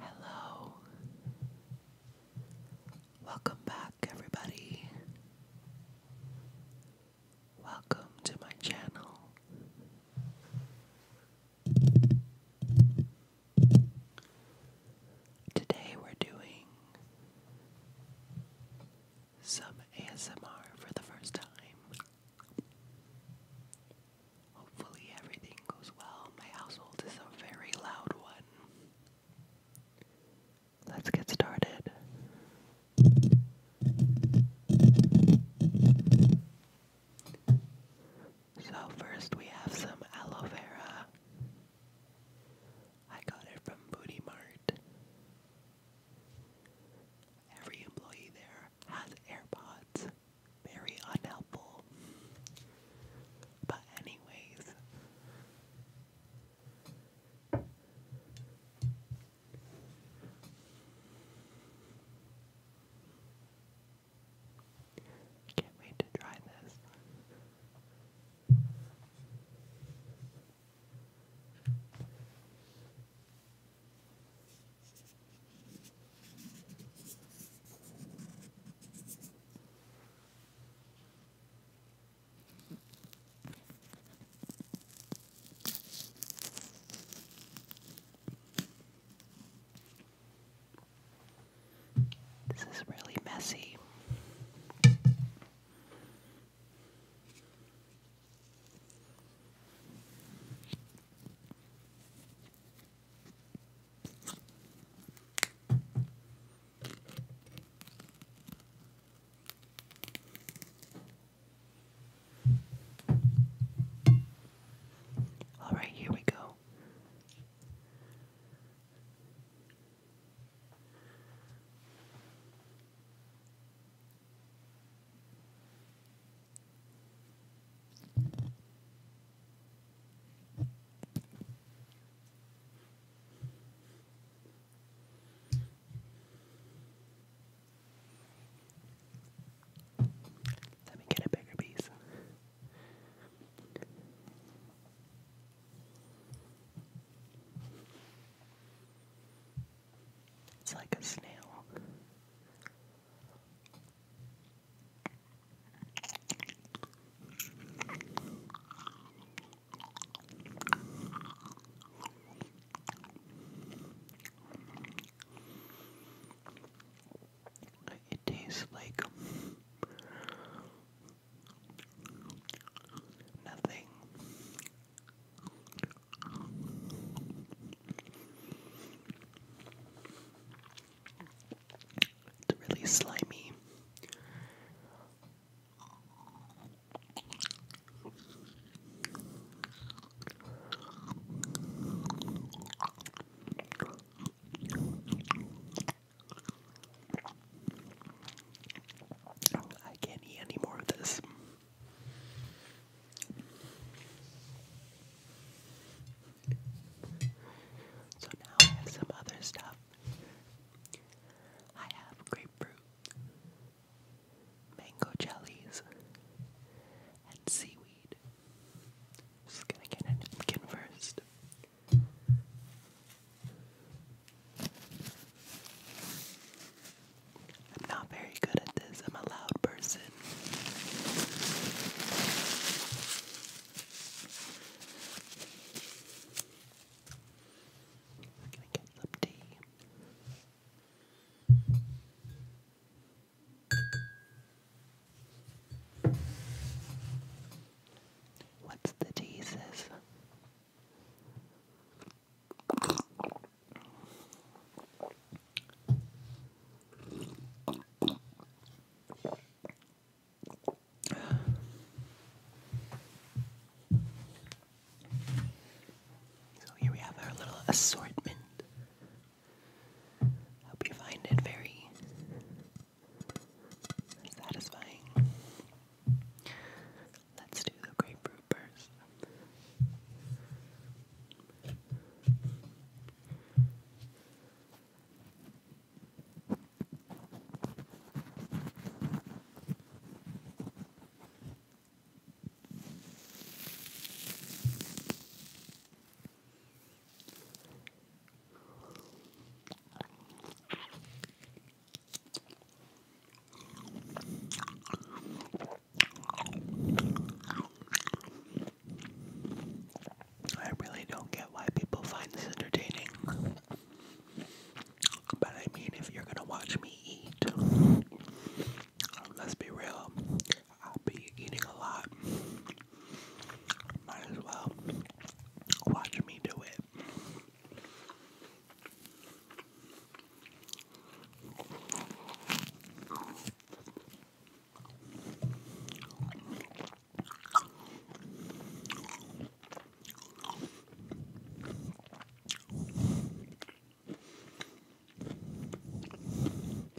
Hello. Welcome back, everybody. Welcome to my channel. Today we're doing some ASMR for the first time. Hopefully, everything goes well. My household is a very loud one. Let's get started. So first we have some aloe vera. I got it from Booty Mart. Every employee there has AirPods. Very unhelpful. But anyways. Can't wait to try this. This is really messy. All right, here we go well. Let me get a bigger piece. It's like a snail. It tastes like nothing. It's really slimy. I can't eat any more of this. So now I have some other stuff. I have grapefruit, mango jellies, and seaweed. Just gonna get a first. I'm not very good at this. I'm a loud person. I'm gonna get some What's the Jesus? So here we have our little assortment. Hope you find it very satisfying. Let's do the grapefruit first. I really don't get why people find this entertaining. But I mean, if you're gonna watch me eat, let's be real, I'll be eating a lot. Might as well watch me do it.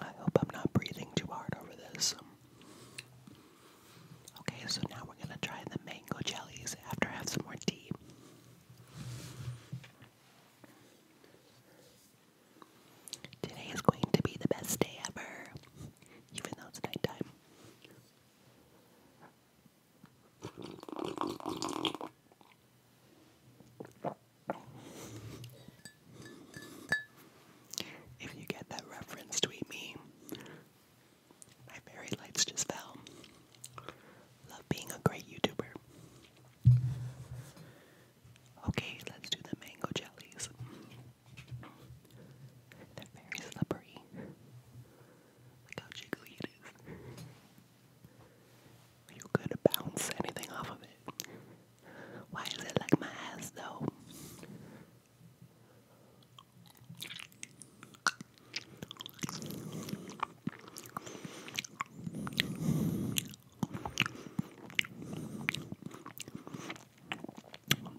I hope I'm not breathing too hard over this. Okay, so now we're gonna try the mango jellies after I have some more tea. Today is going to be the best day ever, even though it's nighttime. If you get that reference, tweet me. My fairy lights just fell. Love being a great YouTuber. Okay, let's do the mango jellies. They're very slippery. Look how jiggly it is. You could bounce anything off of it. Why is it like my ass though?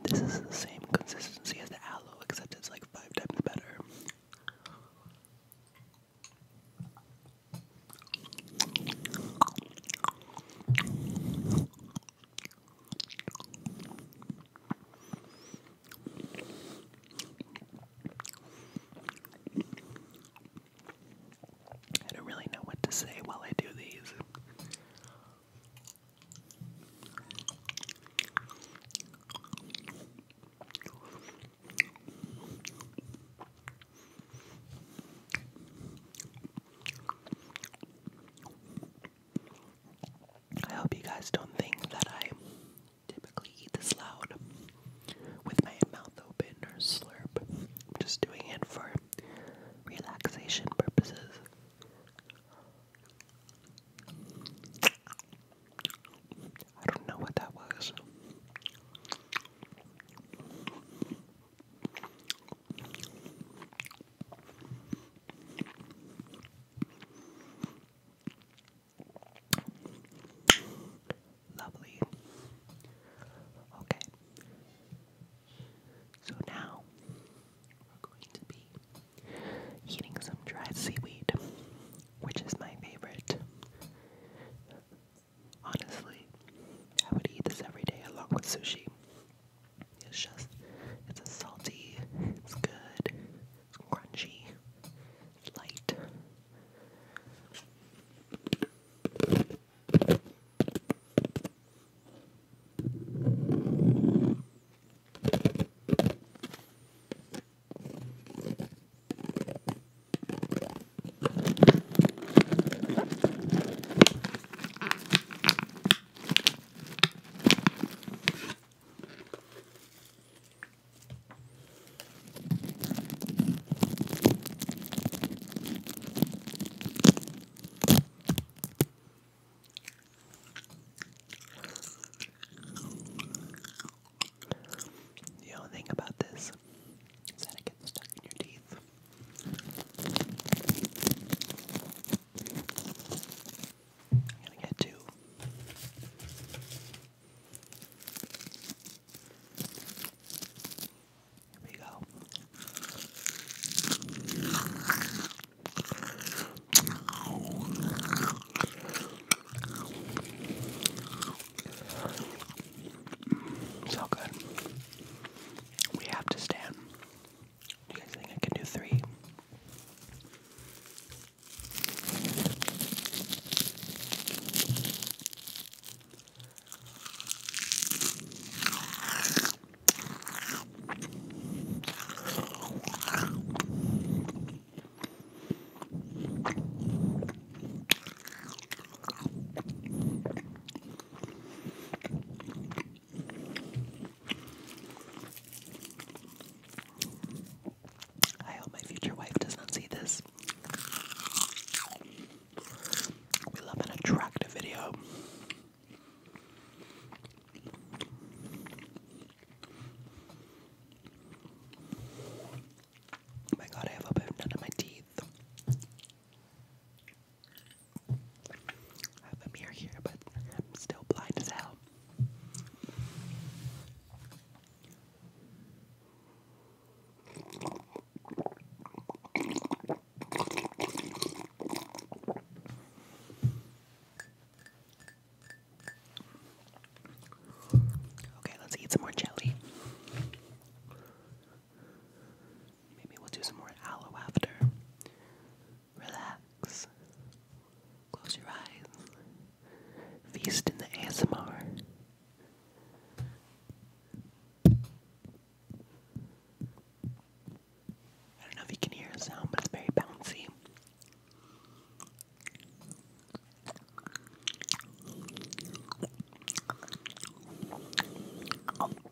This is the same consistency as the aloe, except it's like five times better. I don't really know what to say while I do these. I hope you guys don't think that I typically eat this loud with my mouth open or slurp. I'm just doing it for relaxation purposes. I don't know what that was. Lovely. Okay. So now we're going to be eating some dried seaweed, which is my favorite. Honestly, I would eat this every day along with sushi. It's just, it's a salty, it's good, it's crunchy, it's light. The only thing about this is that it gets stuck in your teeth. I'm to get two. Here we go. So good. We have to stand. You guys think I can do three? I hope my future wife does not see this. We love an attractive video. Oh my god, I have opened none of my teeth. I have a mirror here, but I'm still blind as hell. Okay, let's eat some more jelly. Maybe we'll do some more aloe after. Relax. Close your eyes. Feast in the ASMR. I don't know if you can hear a sound, but it's very bouncy. I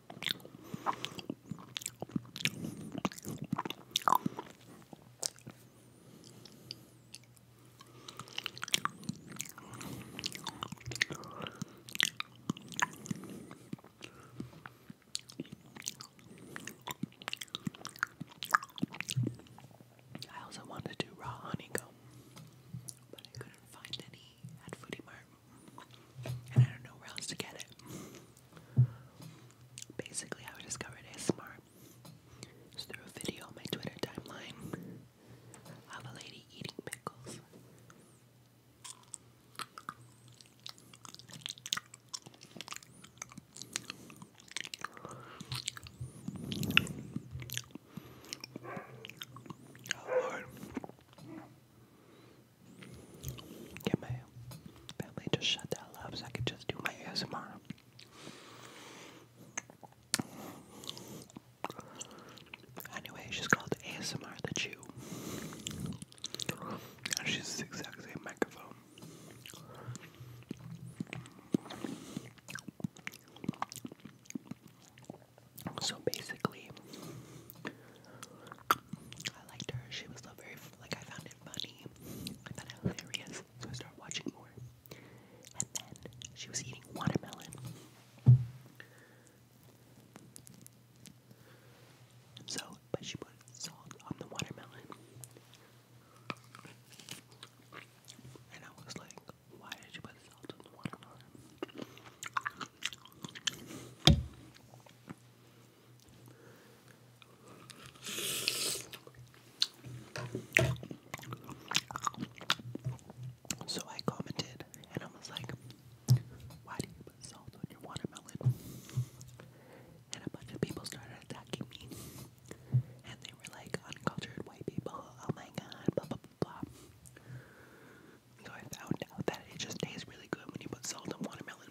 also wanted to do raw honeycomb, but I couldn't find any at Foodie and I don't know where else to get it. Basically, I discovered ASMR just through a video on my Twitter timeline of a lady eating pickles. Oh, Get my family to shut that up so I can just do my ASMR. Anyway, she's called ASMR the Jew. she's the exact same microphone. So basically, I liked her. She was so very, like, I found it funny. I found it hilarious. So I started watching more. And then she was eating watermelon. So, but she put salt on the watermelon. And I was like, why did you put salt on the watermelon? So I commented and I was like, why do you put salt on your watermelon? And a bunch of people started attacking me. And they were like uncultured white people. Oh my god, blah blah blah. So I found out that it just tastes really good when you put salt on watermelon.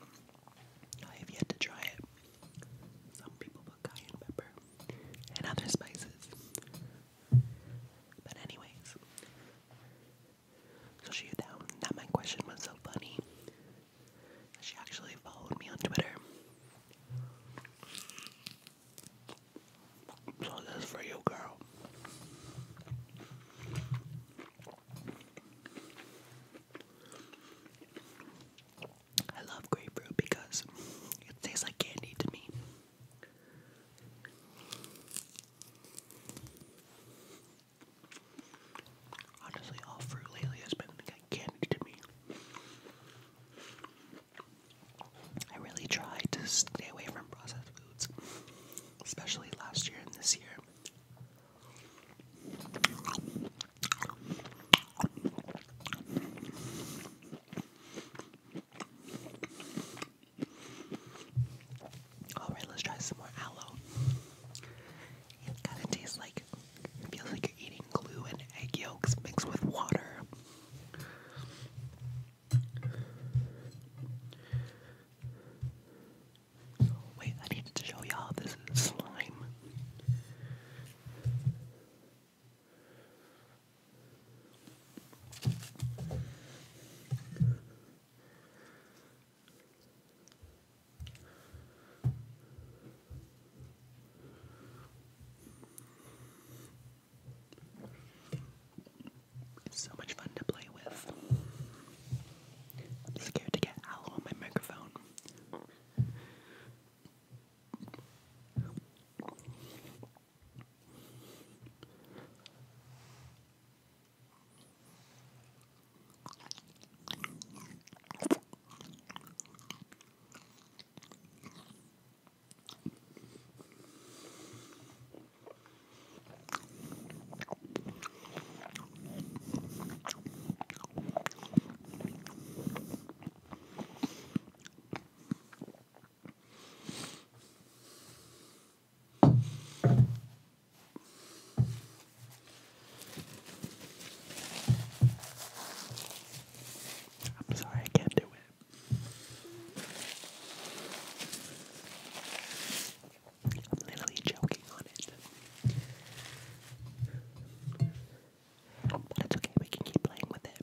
I have yet to try it. Some people put cayenne pepper and other spices. But anyways, so she found that my question was so funny. She actually followed me on Twitter. So this for you, girl. I love grapefruit because it tastes like candy to me. Honestly, all fruit lately has been like candy to me. I really try to stay away from processed foods especially last year and this year. All right, let's try some more aloe. It kind of tastes like feels like you're eating glue and egg yolks mixed with water wait, I need to show y'all this slime so much fun to play with. scared to get aloe on my microphone. I'm sorry, I can't do it. I'm literally joking on it. But it's okay, we can keep playing with it.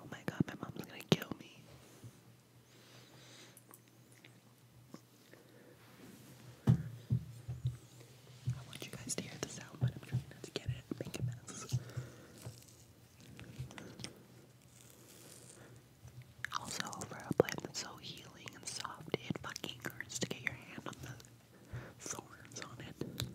Oh my god, my mom's gonna kill me. I want you guys to hear the sound, but I'm trying not to get it. Make it messes. Also, overall plant that's so healing and soft, it fucking hurts to get your hand on the thorns on it.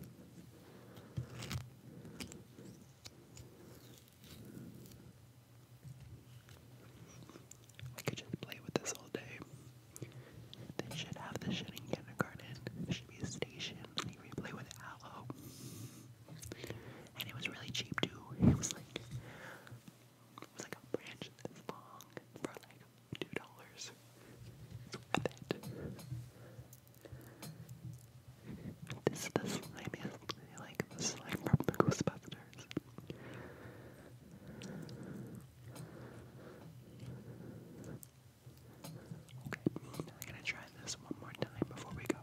I could just play with this all day. They should have this shit in kindergarten. There should be a station Sony replay with Aloe. And it was really cheap too. It was like it was like a branch for like two dollars. This is the slimiest like slime from the Ghostbusters. Okay, I'm gonna try this one more time before we go.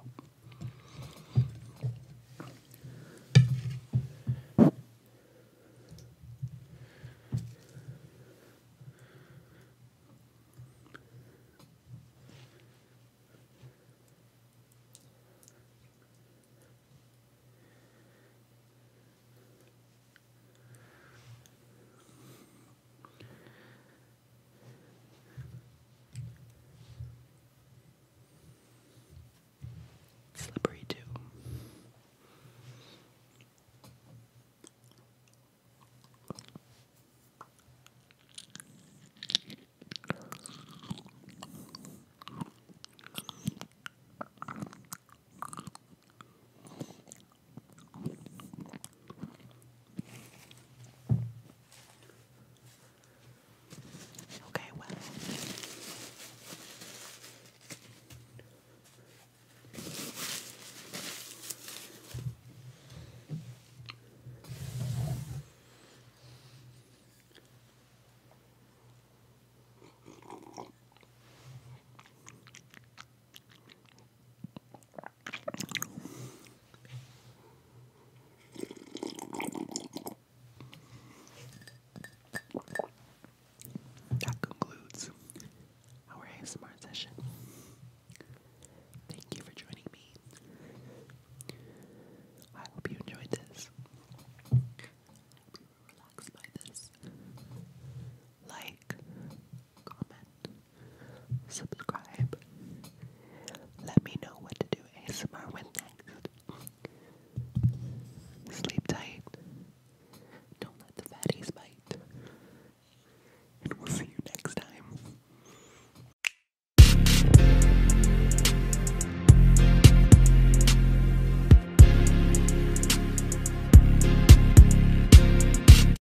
Slippery too. Okay, well. That concludes our ASMR session. Thank you for joining me. I hope you enjoyed this. I by this. Like, comment, subscribe. Let me know what to do ASMR with next. Sleep tight. Don't let the fatties bite. And we'll see you next time.